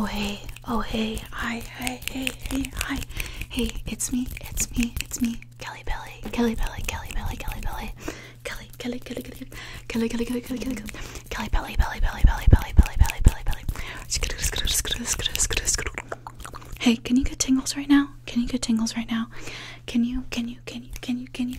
Oh hey, oh hey, hi, hey, hey, hey, hi, hey, it's me, it's me, it's me, Kelly Belly, Kelly Belly, Kelly Belly, Kelly Belly, Kelly, Kelly, Kelly, Kelly, Kelly, Kelly, Kelly, Kelly, Kelly, Kelly, Kelly Belly, Belly, Belly, Belly, Belly, Belly, Belly, Belly, Belly. Hey, can you get tingles right now? Can you get tingles right now? Can you, can you, can you, can you, can you,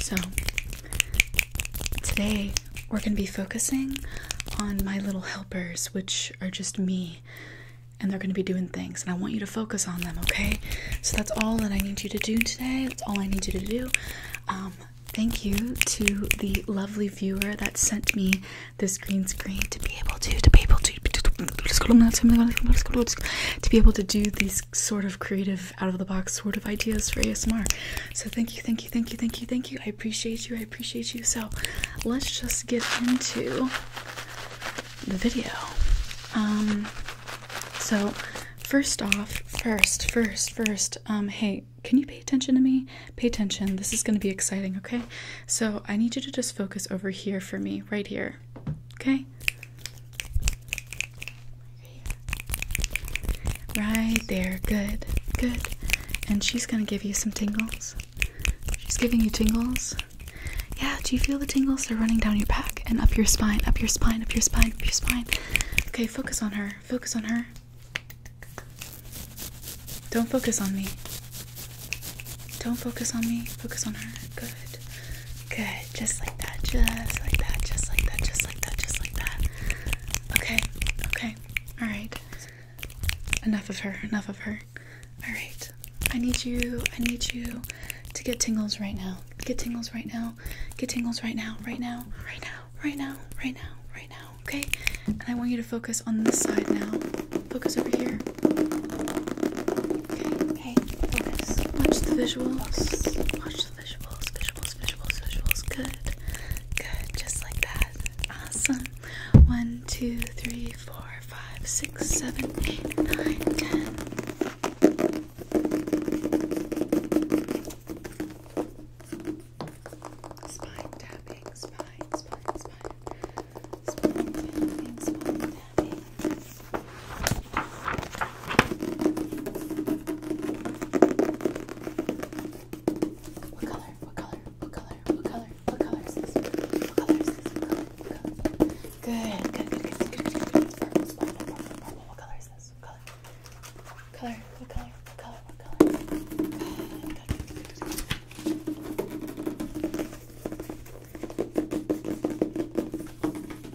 So, today we're going to be focusing on my little helpers, which are just me, and they're going to be doing things, and I want you to focus on them, okay? So, that's all that I need you to do today. That's all I need you to do. Um, thank you to the lovely viewer that sent me this green screen to be able to to be able to to be able to do these sort of creative, out of the box sort of ideas for ASMR. So, thank you, thank you, thank you, thank you, thank you. I appreciate you, I appreciate you. So, let's just get into the video. Um, so, first off, first, first, first, um, hey, can you pay attention to me? Pay attention. This is going to be exciting, okay? So, I need you to just focus over here for me, right here. Okay? Right there, good, good. And she's gonna give you some tingles. She's giving you tingles. Yeah, do you feel the tingles? They're running down your back and up your spine, up your spine, up your spine, up your spine. Okay, focus on her, focus on her. Don't focus on me. Don't focus on me, focus on her. Good. Good. Just like that. Just like that. Just like that. Just like that. Just like that. Okay. Okay. All right. Enough of her. Enough of her. All right. I need you. I need you to get tingles right now. Get tingles right now. Get tingles right now. Right now. Right now. Right now. Right now. Right now. Okay? And I want you to focus on this side now. Focus over here. Okay. Hey, focus. Watch the visuals. Watch visuals, visuals, visuals, visuals. Good, good, just like that. Awesome. One, two, three, four, five, six, seven, eight, nine, ten. Spine tapping, spine, spine, spine, spine tapping, spine tapping. What color? What color? What color? What color? What color is this? What color is this? What color? What color? Good. Good. Good. Good. Good. Good. Good. It's purple. It's purple. Purple. Purple. What color is this? What color? What color? What color? What color? What color? Good. Good. Good. Good. Good. Good.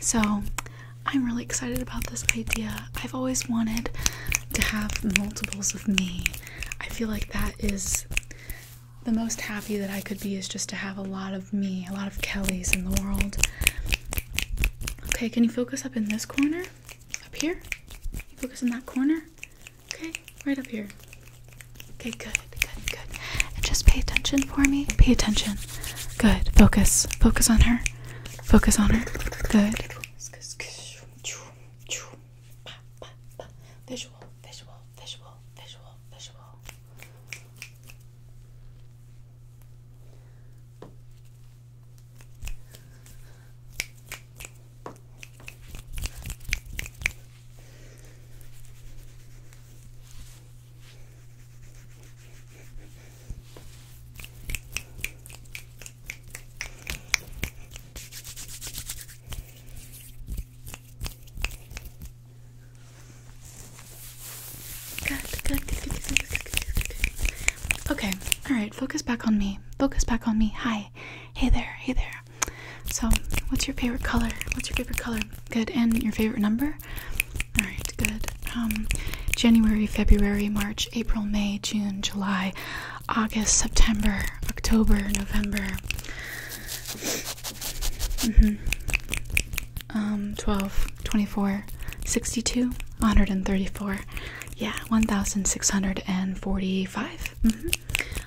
So I'm really excited about this idea. I've always wanted to have multiples of me. I feel like that is the most happy that I could be is just to have a lot of me, a lot of Kellys in the world. Okay, can you focus up in this corner? Up here? you focus in that corner? Okay, right up here. Okay, good, good, good. just pay attention for me. Pay attention. Good. Focus. Focus on her. Focus on her. Good. Visual, visual, visual, visual, visual. Okay, all right, focus back on me. Focus back on me. Hi. Hey there, hey there. So, what's your favorite color? What's your favorite color? Good. And your favorite number? All right, good. Um, January, February, March, April, May, June, July, August, September, October, November. Mhm. um, 12, 24, 62, 134. Yeah, 1645. Mm-hmm.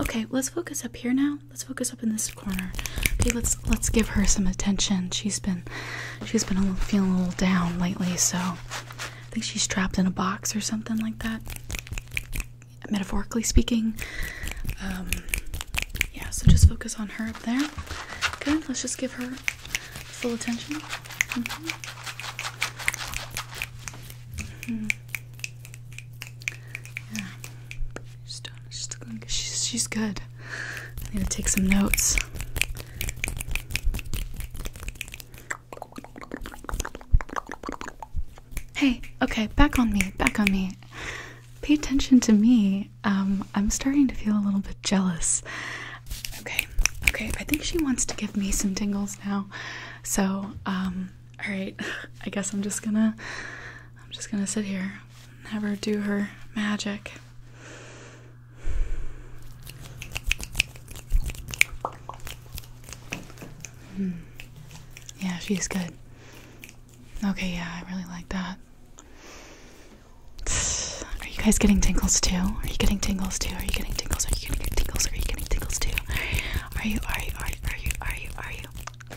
okay, let's focus up here now let's focus up in this corner okay let's let's give her some attention she's been she's been feeling a little down lately so i think she's trapped in a box or something like that metaphorically speaking um, yeah so just focus on her up there okay let's just give her full attention mm-hmm. Mm-hmm. Yeah. She's She's good. I need to take some notes. Hey, okay, back on me, back on me. Pay attention to me. Um, I'm starting to feel a little bit jealous. Okay, okay, I think she wants to give me some tingles now. So, um, all right i guess i'm just gonna i'm just gonna sit here and have her do her magic hmm. yeah she's good okay yeah i really like that are you guys getting tingles too? Are you getting tingles too? Are you getting tingles? Are you getting tingles? Are you getting tingles too? Are you? Are you? Are you? Are you? Are you? Are you?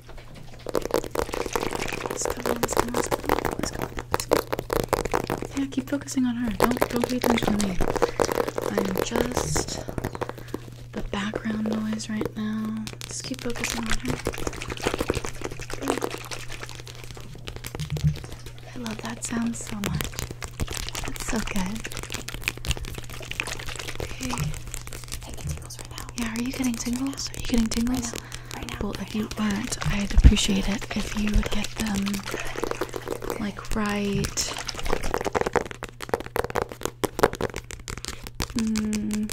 Yeah, keep focusing on her. Don't don't pay attention to me. I'm just the background noise right now. Just keep focusing on her. I love that sound so much. That's so good. Okay. Yeah, are you getting tingles? are you getting tingles? Right now. Right Well, if you were not I'd appreciate it if you would get them like right. Mm.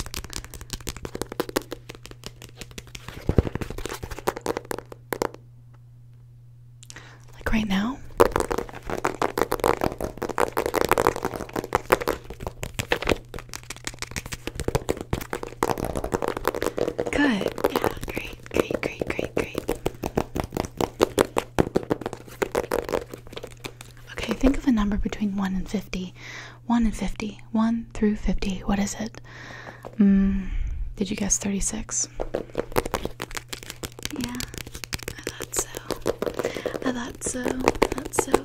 Like right now? Good. Yeah, great, great, great, great, great. Okay, think of a number between 1 and 50. 1 and 50. 1 through 50. What is it? Mm, did you guess 36? Yeah, I thought so. I thought so. thought so.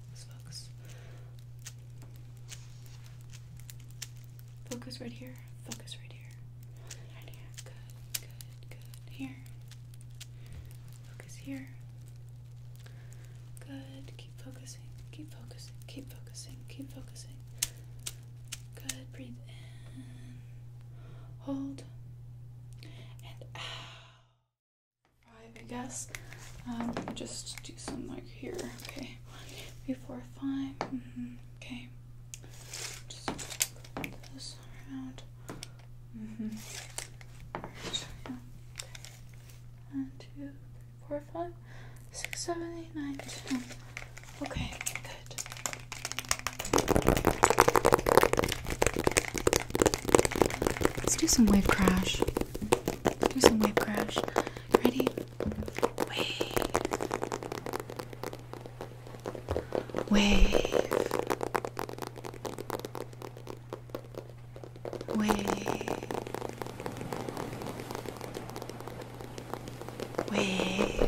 focus, focus. right here. Focus right here. Right here. Good, good, good. Here. Focus here. Good. Keep focusing. Keep focusing. Keep focusing. Keep focusing. Good. Breathe in. Hold. And out. Five, I guess. Um, just do some like here. Okay, Before five. Mm-hmm. Okay. Just flip this around. mm Okay, good. Let's do some wave crash. Do some wave crash. Ready? Wave. Wave. Wave. Wave.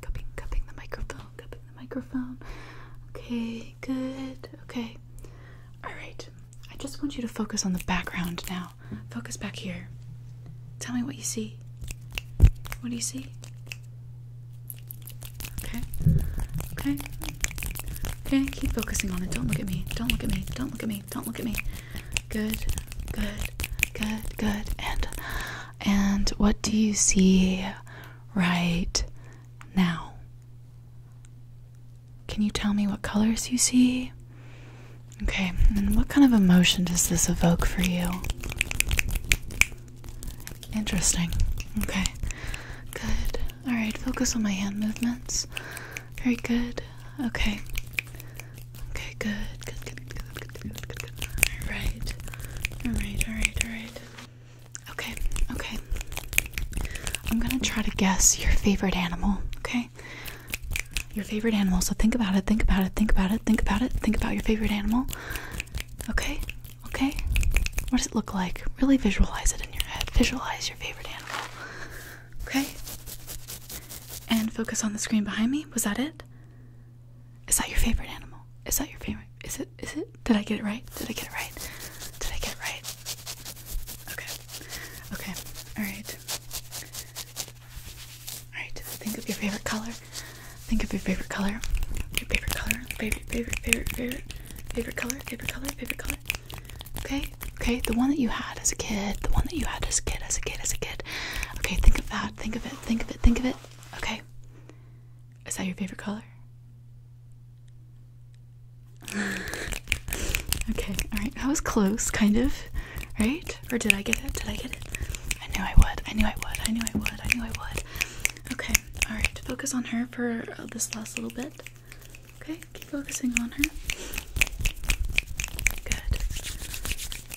cupping, cupping the microphone, cupping the microphone. Okay, good. Okay. All right. I just want you to focus on the background now. Focus back here. Tell me what you see. What do you see? Okay. Okay. Okay, keep focusing on it. Don't look at me. Don't look at me. Don't look at me. Don't look at me. Good. Good. Good. Good. And and what do you see right now. Can you tell me what colors you see? Okay, and what kind of emotion does this evoke for you? Interesting. Okay, good. Alright, focus on my hand movements. Very good. Okay. Okay, good. Good, good, good, good, good, good, good. Alright. Alright, alright, alright. Okay, okay. I'm gonna try to guess your favorite animal, okay? Your favorite animal. So think about it, think about it, think about it, think about it, think about your favorite animal. Okay, okay. What does it look like? Really visualize it in your head. Visualize your favorite animal. Okay? And focus on the screen behind me. Was that it? Is that your favorite animal? Is that your favorite? Is it? Is it? Did I get it right? Did I get it right? Did I get it right? Okay. Okay. All right. All right. Think of your favorite color. Think of your favorite color. Your favorite color. Favorite. Favorite. Favorite. Favorite. Favorite color. Favorite color. Favorite color. Okay. Okay. The one that you had as a kid. The one that you had as a kid. As a kid. As a kid. Okay. Think of that. Think of it. Think of it. Think of it. Okay. Is that your favorite color? okay, alright. I was close, kind of. Right? Or did I get it? Did I get it? I knew I would. I knew I would. I knew I would. I knew I would. Okay, alright. Focus on her for uh, this last little bit. Okay, keep focusing on her. Good.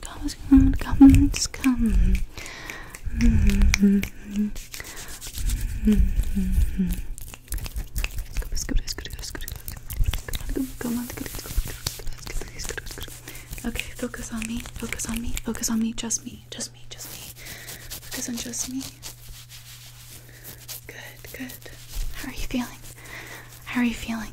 come, come, come, just come. Mm -hmm. Mm -hmm. Okay, focus on me, focus on me, focus on me, just me, just me, just me. Focus on just me. Good, good. How are you feeling? How are you feeling?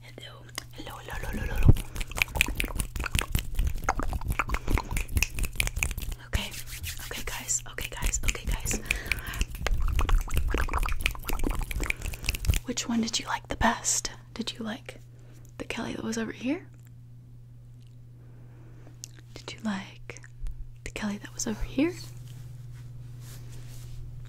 hello, hello, hello, hello, hello. Okay, okay, guys, okay, guys, okay, guys. Which one did you like the best? Did you like the Kelly that was over here? Did you like the Kelly that was over here?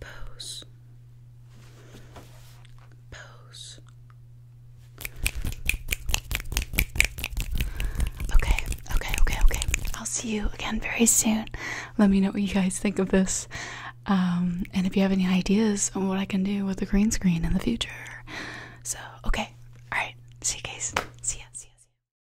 Pose. Pose. Okay, okay, okay, okay. I'll see you again very soon. Let me know what you guys think of this. Um, and if you have any ideas on what I can do with the green screen in the future. So, okay. Alright. See you guys. See ya. See ya.